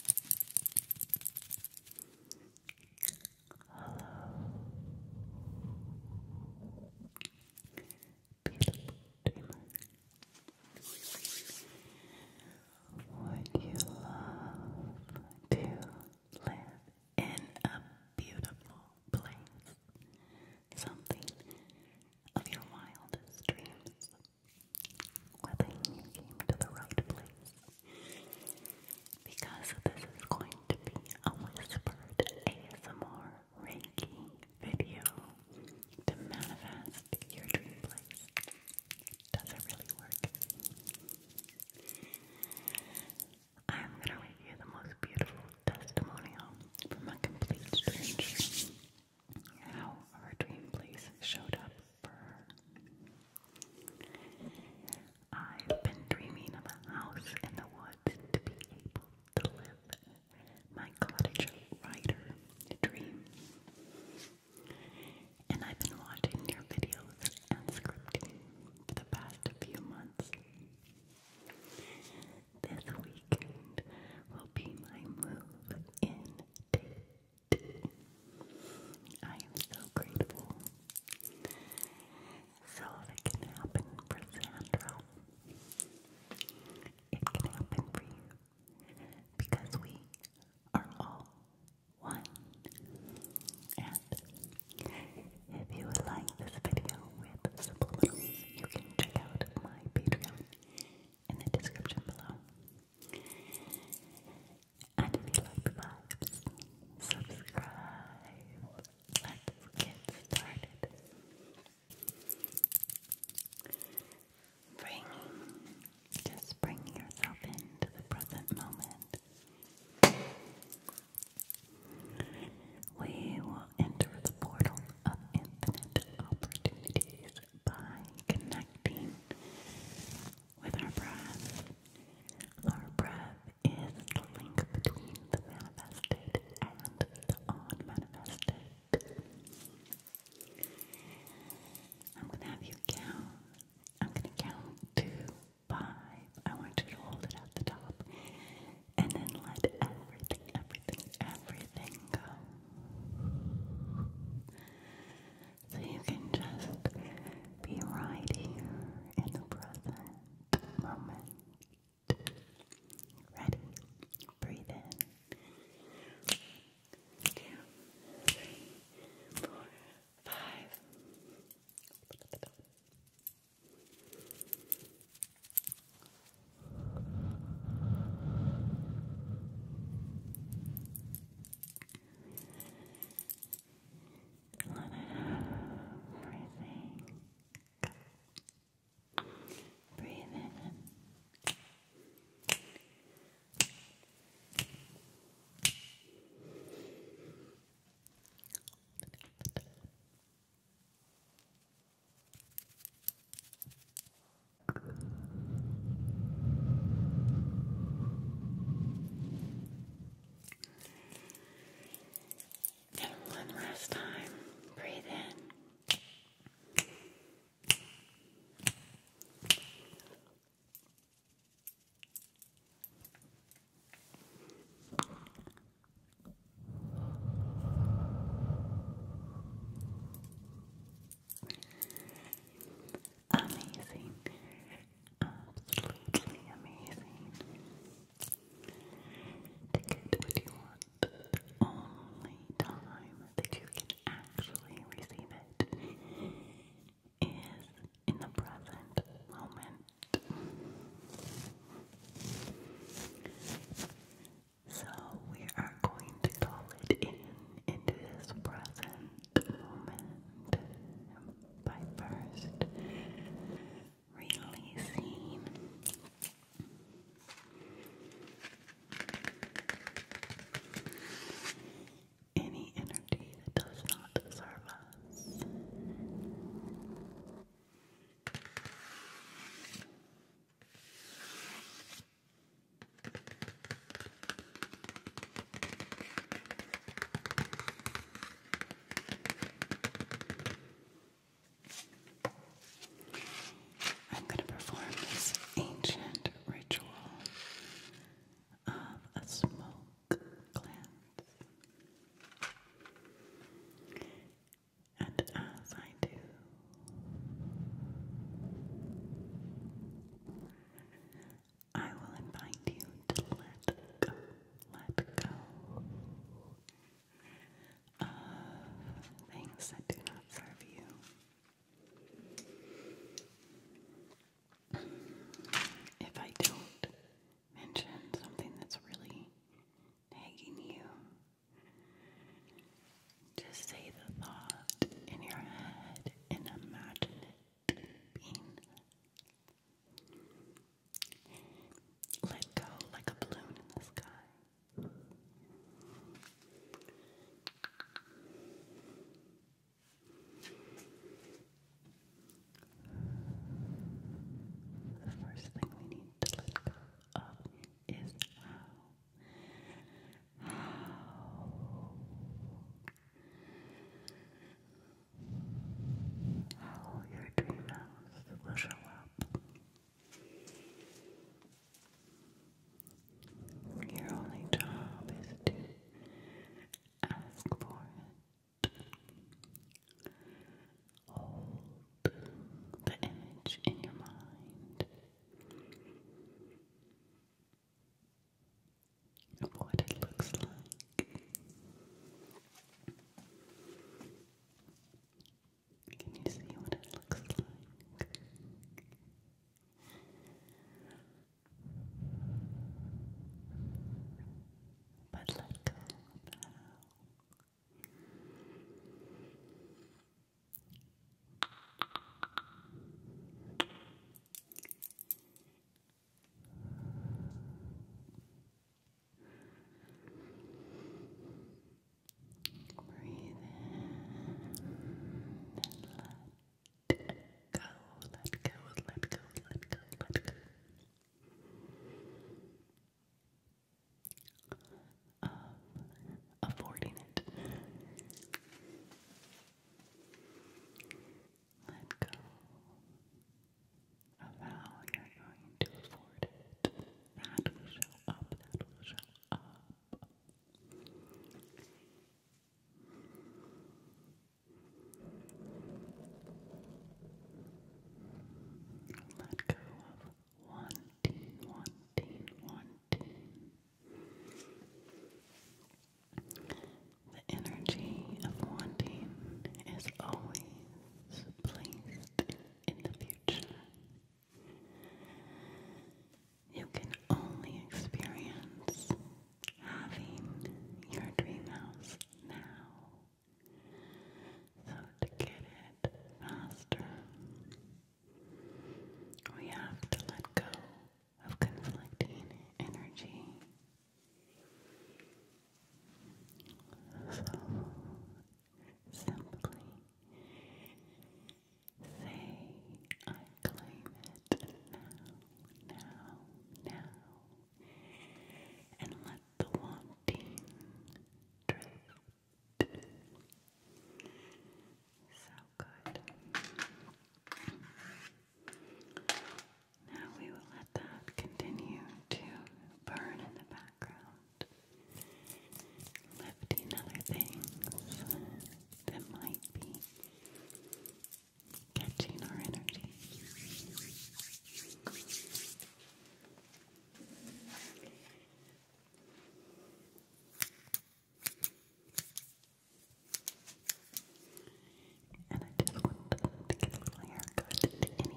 Hello, beautiful dreamer. Would you love to live in a beautiful place? Something of your wildest dreams whether you came to the right place. Because this is going to be a whispered ASMR Reiki video to manifest your dream place. Does it really work? I'm gonna review the most beautiful testimonial from a complete stranger. How her dream place showed up I've been dreaming of a house in the woods to be able to live my cottage writer dream. And I've been watching your videos and scripting for the past few months. This weekend will be my move in date. I am so grateful. So if it can happen for Sandra, it can happen for you. Because we are all one. And if you like this video with subliminals, you can check out my Patreon in the description below. And if you like vibes, subscribe. Let's get started. just bring yourself into the present moment. We will enter the portal of infinite opportunities by connecting with our breath. Our breath is the link between the manifested and the unmanifested. I'm gonna have you count. I'm gonna count to five. I want you to hold it at the top and then let everything, everything, everything go so you can just be right here in the present moment. Ready? Breathe in. Two, three, four, five. Let everything go. Breathe in. Breathe and one last time, breathe in amazing. Absolutely amazing. the only time that you can actually receive it is in the present moment. So we are going to call it in into this present moment by first releasing any energy that does not serve us. I'm going to perform this ancient ritual of a smoke cleanse. And as I do, I will invite you to let go, let go of things that do not serve you. If I don't mention something that's really nagging you, just say the thought in your head and imagine it bean. Let go like a balloon in the sky. The first thing we need to let go of is How how your dreams will show up. Your only job is to ask for it. Hold the image in your mind what it looks like. Can you see what it looks like? But let Breathe in let go, let go, let go, let go, let go. Of it. Let go. Allow you're going to afford it. That will show up. That will show up. Let go of wanting, wanting, wanting. The energy of wanting is always placed in the future. You can only experience having your dream house now. So, to get it faster, we have to let go of conflicting energy so simply say, I claim it now, now, now, and let the wanting drift. So good. Now we will let that continue to burn in the background, lifting other things that might be catching our energy. And I just wanted to get a little haircut to any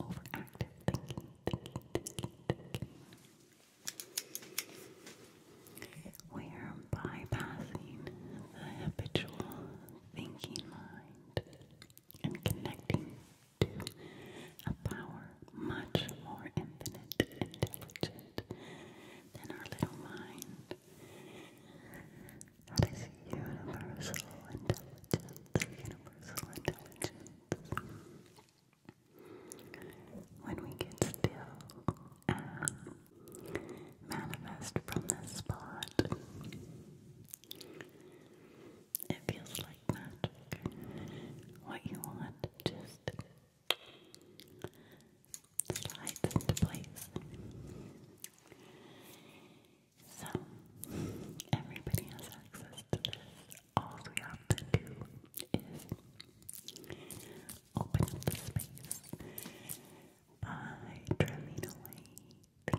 overactive thinking, We are bypassing the habitual thinking mind and connecting to a power much more infinite and intelligent than our little mind is universal intelligence, universal intelligence. When we get still and manifest from this spot, it feels like magic. What you want just slides into place. So, everybody has access to this. All we have to do is open up the space by trimming away.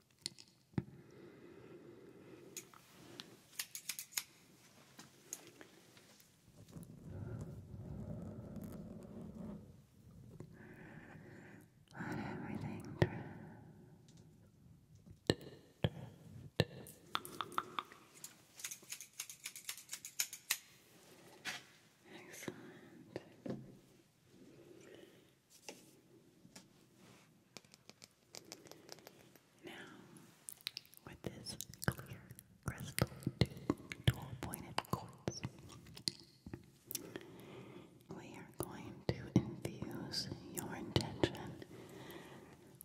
Let everything Excellent. Now, with this clear crystal dual pointed quartz, we are going to infuse your intention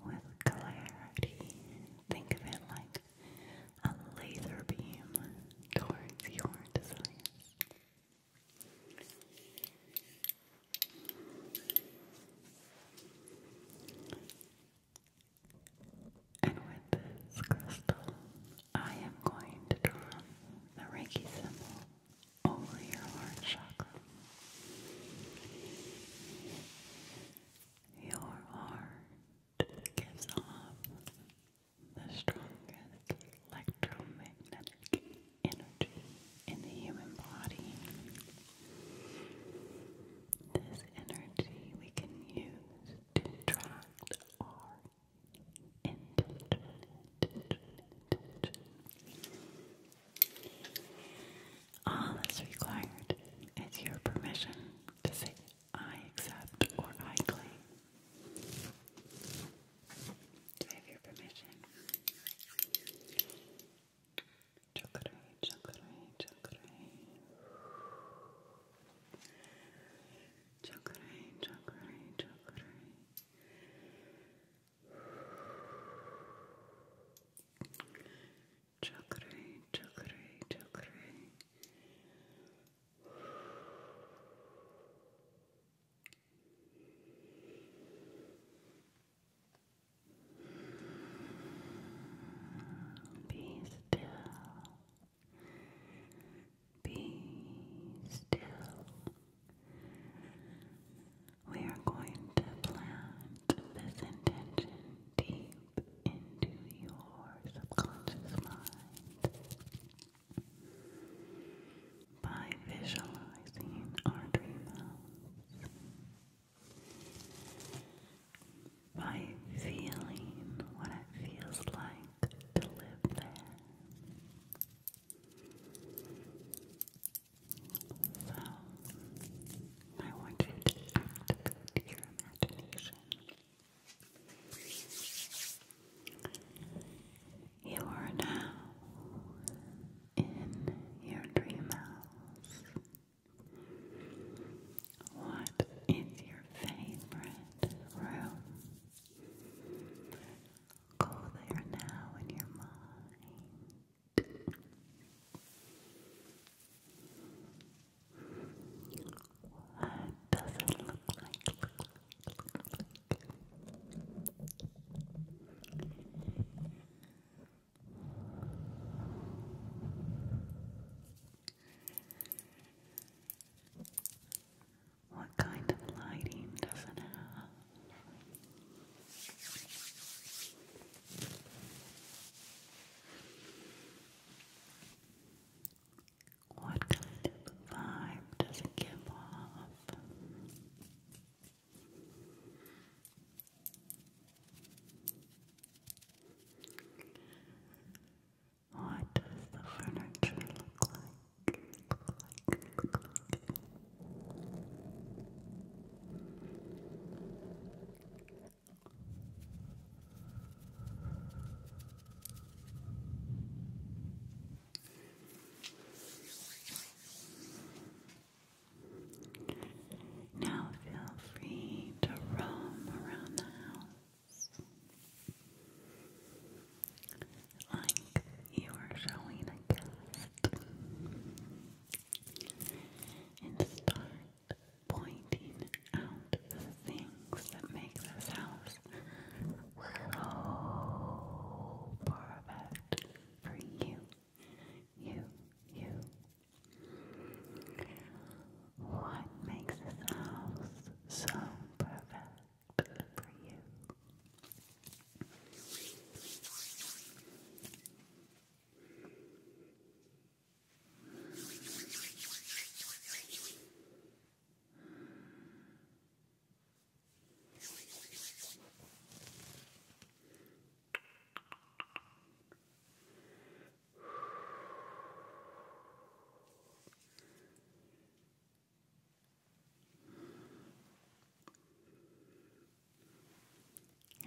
with clarity. Think of it like a laser beam towards your desires. And with this crystal, I am going to draw the Reiki symbol over your heart chakra. Your heart gives off the strongest electromagnetic energy in the human body. This energy we can use to attract our intention. All that's required is your permission to say, I accept or I claim. Do I have your permission? Chakra, chakra, chakra. Chakra, chakra, chakra. Chakra, chakra, chakra. Chakra, be still. Be still. We are going to plant this intention deep into your subconscious mind by visualizing our dream house by feeling what it feels like to live there. So, I want you to activate your imagination. You are now in your dream What is your favorite room? Go there now in your mind. What does it look like? What kind of lighting does it have? What kind of vibe does it give off? What does the furniture look like? Now feel free to roam around the house like you are showing a gift and start pointing out the things that make this house so perfect for you you, you. What makes this house so perfect for you?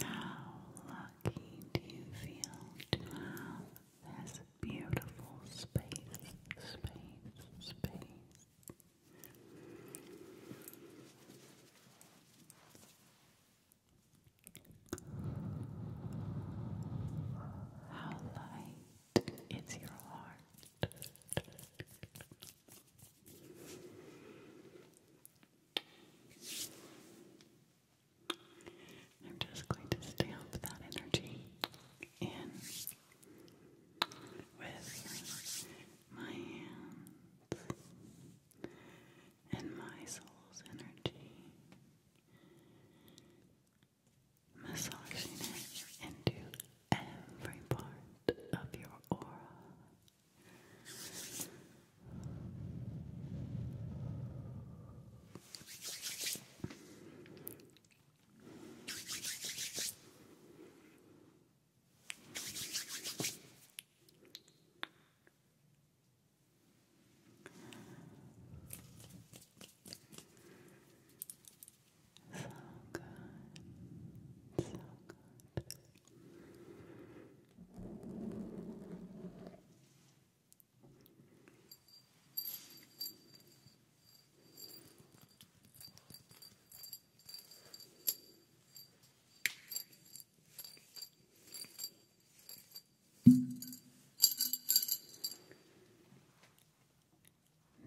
How lucky do you feel to have this beautiful space, space, space? How light is your heart? I'm just going to stamp that energy in with my hands and my soul's energy, massaging it into every part of your aura. So good. So good.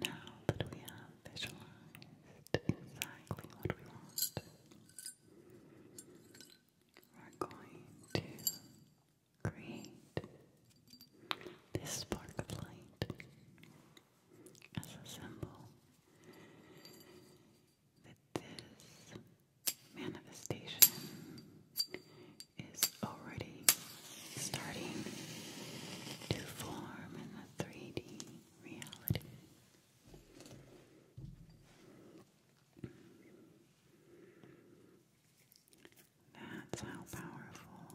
Now that we have visualized exactly what we want, we're going to create this spark of light as a symbol that this manifestation is already starting to form in the 3D reality. That's how powerful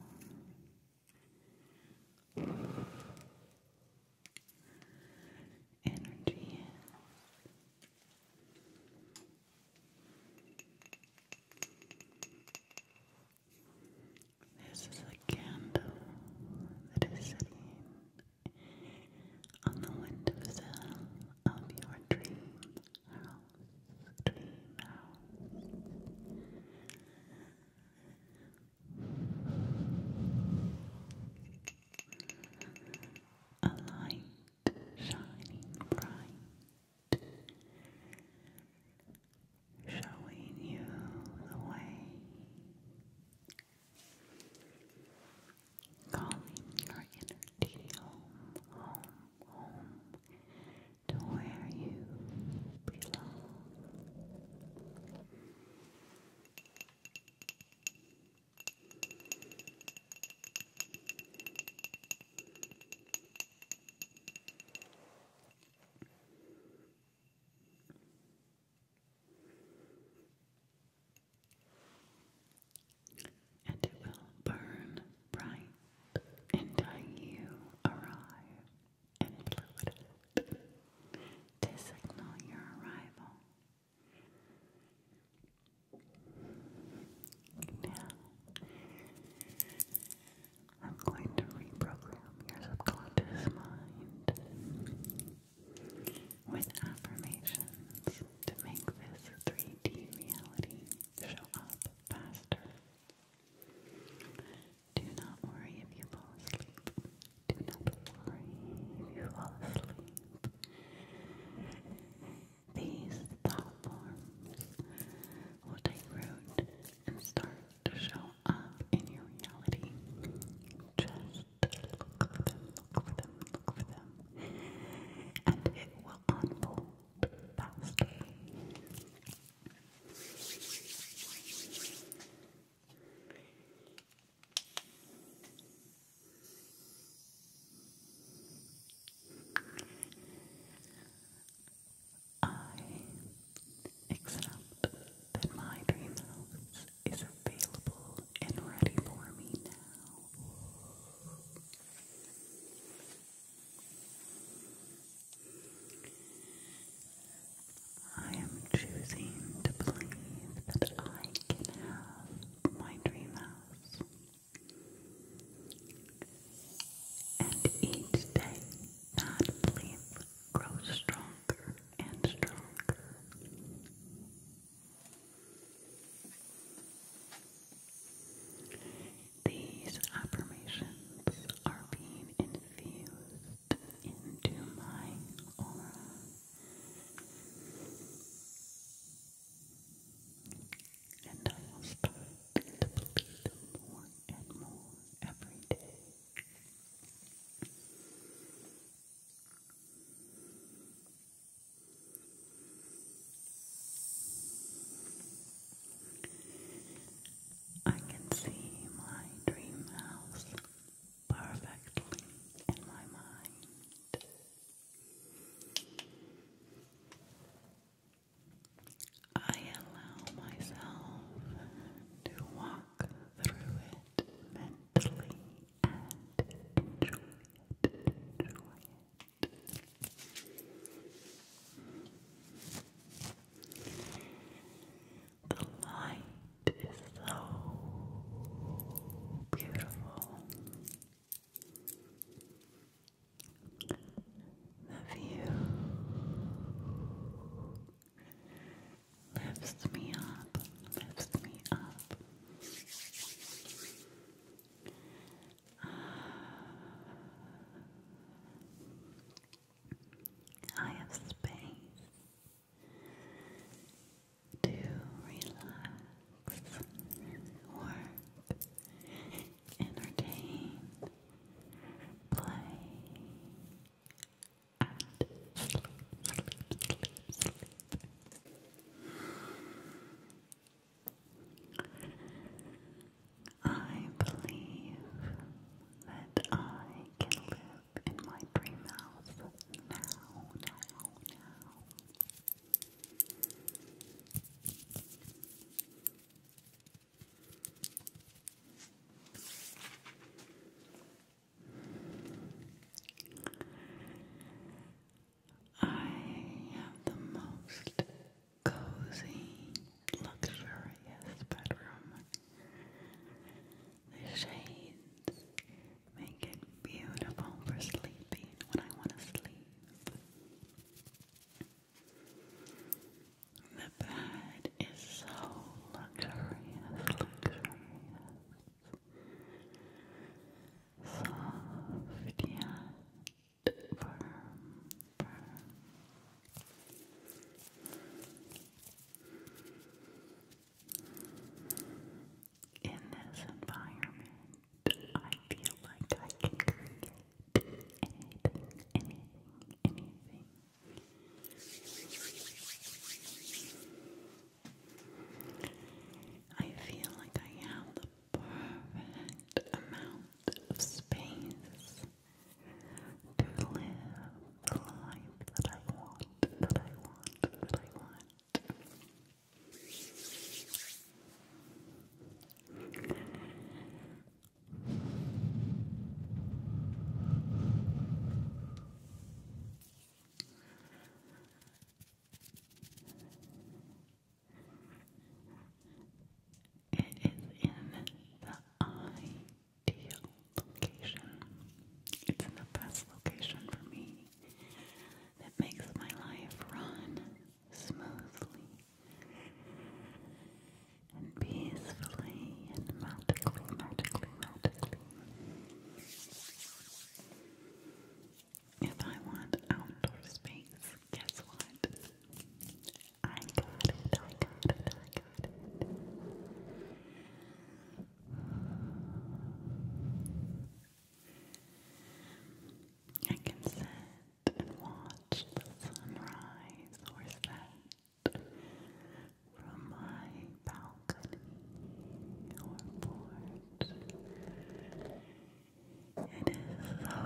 energy is. This is a candle that is sitting on the windowsill of your dream house. Dream house a light shining bright, showing you the way, calling your energy home, home, home to where you belong. And it will burn bright until you arrive and it up signal your arrival. Now, I'm going to reprogram your subconscious mind with affirmations to make this 3D reality show up faster. Do not worry if you fall asleep. Do not worry if you fall asleep. These thought forms will take root and start to show up in your reality. Just look for them, look for them, look for them, and it will unfold faster. I accept that my dream is available and ready for me now. I am choosing to believe that I can have my dream house. And each day that belief grows stronger and stronger. These affirmations are being infused into my aura. And I start to believe more and more every day. I can see my dream house perfectly in my mind. I allow myself to walk through it mentally and enjoy it. The light is so beautiful. The view lifts me up, lifts me up. I have space to relax, work, entertain, play, and sleep, I believe that I can live in my dream house now, now, now. I have the most cozy, luxurious bedroom. The shades Make it beautiful for sleeping when I want to sleep. The bed is so luxurious, luxurious. Soft yet firm, In this environment, I feel like I can create anything, anything, anything. I feel like I have the perfect amount of space to live the life that I want, that I want, that I want. It is in the ideal location. It's in the best location for me that makes my life run smoothly and peacefully and magically, magically, magically. If I want outdoor space, guess what? I got it, I got it, I got it. I can sit and watch the sunrise or set from my balcony or porch. It is so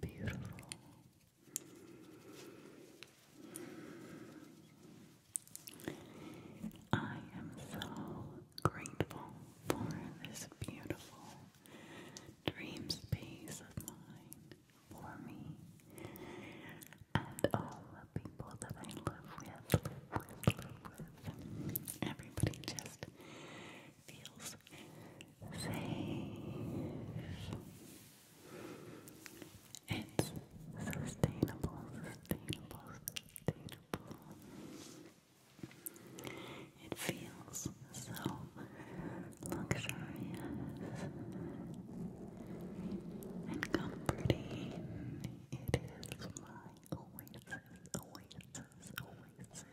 beautiful. I am so grateful for this beautiful dream space of mine for me and all the people that I live with, live with, with. Everybody just feels safe. It's sustainable, sustainable, sustainable comfortable. It feels so luxurious and comforting. It is my oasis, oasis, oasis.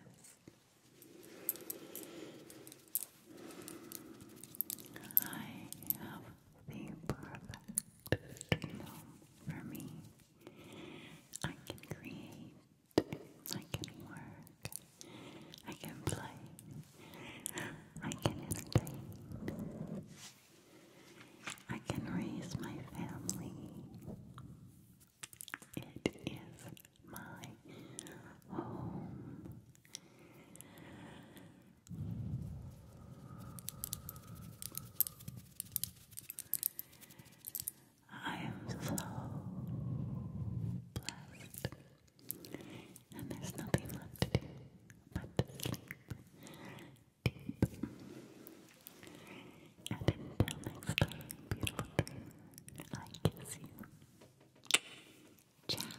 I have the perfect dream for me. I can create, I can work, I can play, I can entertain, I can raise my family. It is my home. I am so blessed, and there's nothing left to do but sleep deep. And until next time, beautiful dream, I kiss you. Ciao.